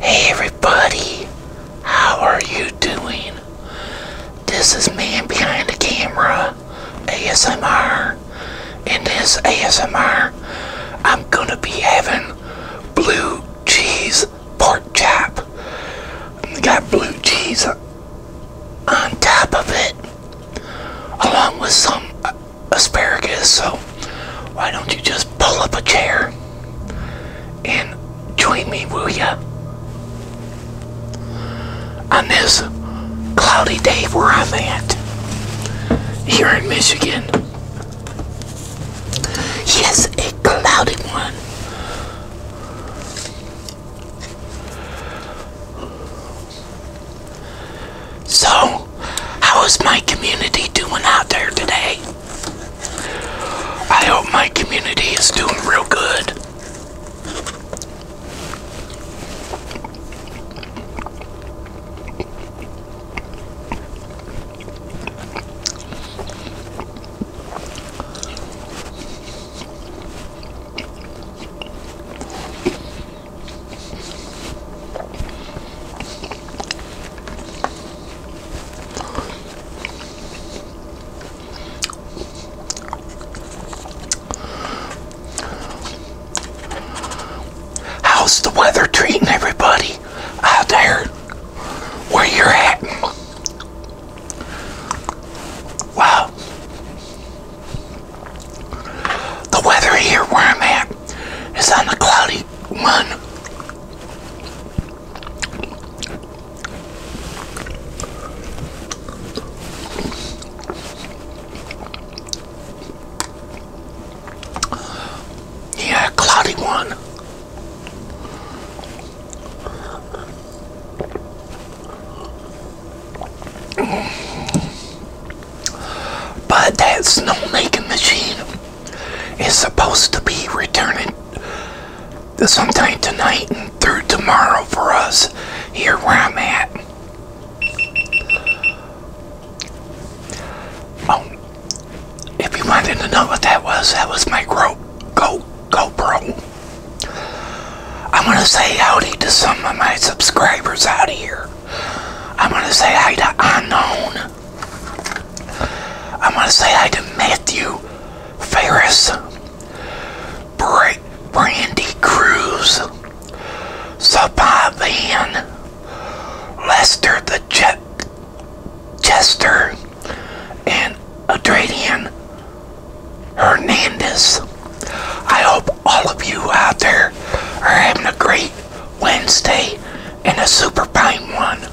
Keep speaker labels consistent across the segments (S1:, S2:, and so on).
S1: Hey everybody, how are you doing? This is Man Behind the Camera ASMR. and this ASMR, I'm gonna be having blue cheese pork chop. Got blue cheese on top of it, along with some uh, asparagus, so why don't you just pull up a chair and join me, will ya? On this cloudy day where I'm at, here in Michigan. Yes, a cloudy one. So, how is my community doing out there today? I hope my community is doing real good. How's the weather treating everybody out there where you're at? Wow. The weather here where I'm at is on the cloudy one. Yeah, cloudy one. But that snowmaking machine is supposed to be returning sometime tonight and through tomorrow for us here where I'm at. Oh, if you wanted to know what that was, that was my GoPro. Go, GoPro. I want to say howdy to some of my subscribers out here. I want to say hi to Unknown. I want to say hi to Matthew Ferris, Bra Brandy Cruz, Sapa Lester the Jet Chester, and Adrian. Hernandez. I hope all of you out there are having a great Wednesday and a super fine one.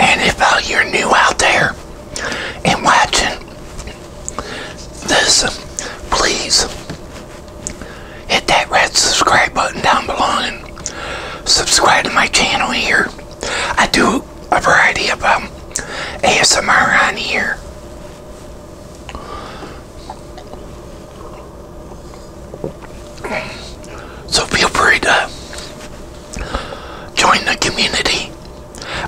S1: And if uh, you're new out there and watching this, please hit that red subscribe button down below and subscribe to my channel here. I do a variety of um, ASMR on here. So feel free to join the community.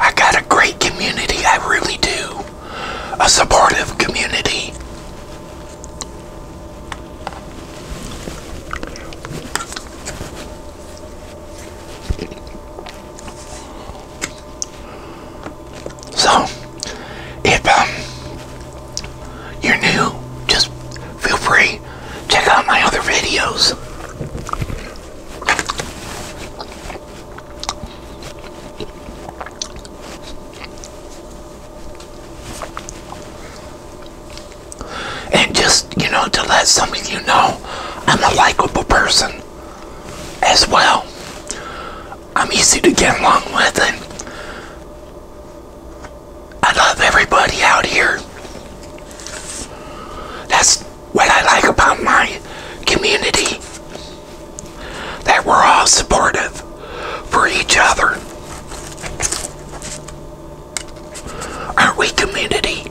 S1: I got a great community, I really do a supportive community. So, if um, you're new, just feel free, check out my other videos. And just, you know, to let some of you know, I'm a likable person as well. I'm easy to get along with and I love everybody out here. That's what I like about my community that we're all supportive for each other. are we community?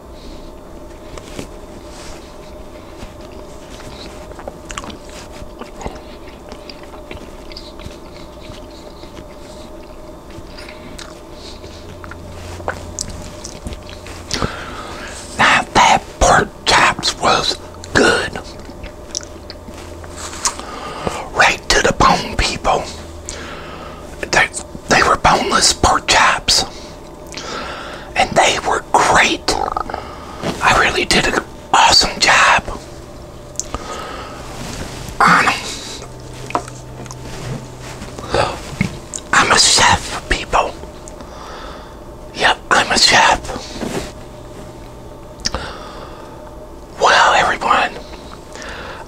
S1: that pork chops was good. Right to the bone, people. They, they were boneless pork chops and they were great. I really did an awesome job um, I'm a chef, people. Yep, I'm a chef. Well, everyone.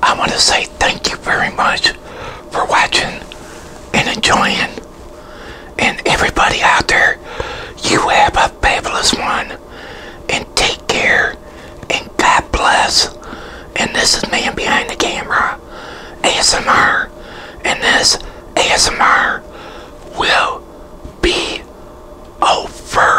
S1: I want to say thank you very much for watching and enjoying. And everybody out there, you have a fabulous one. And take care. And God bless. And this is Man Behind the Camera, ASMR. And this ASMR will be over.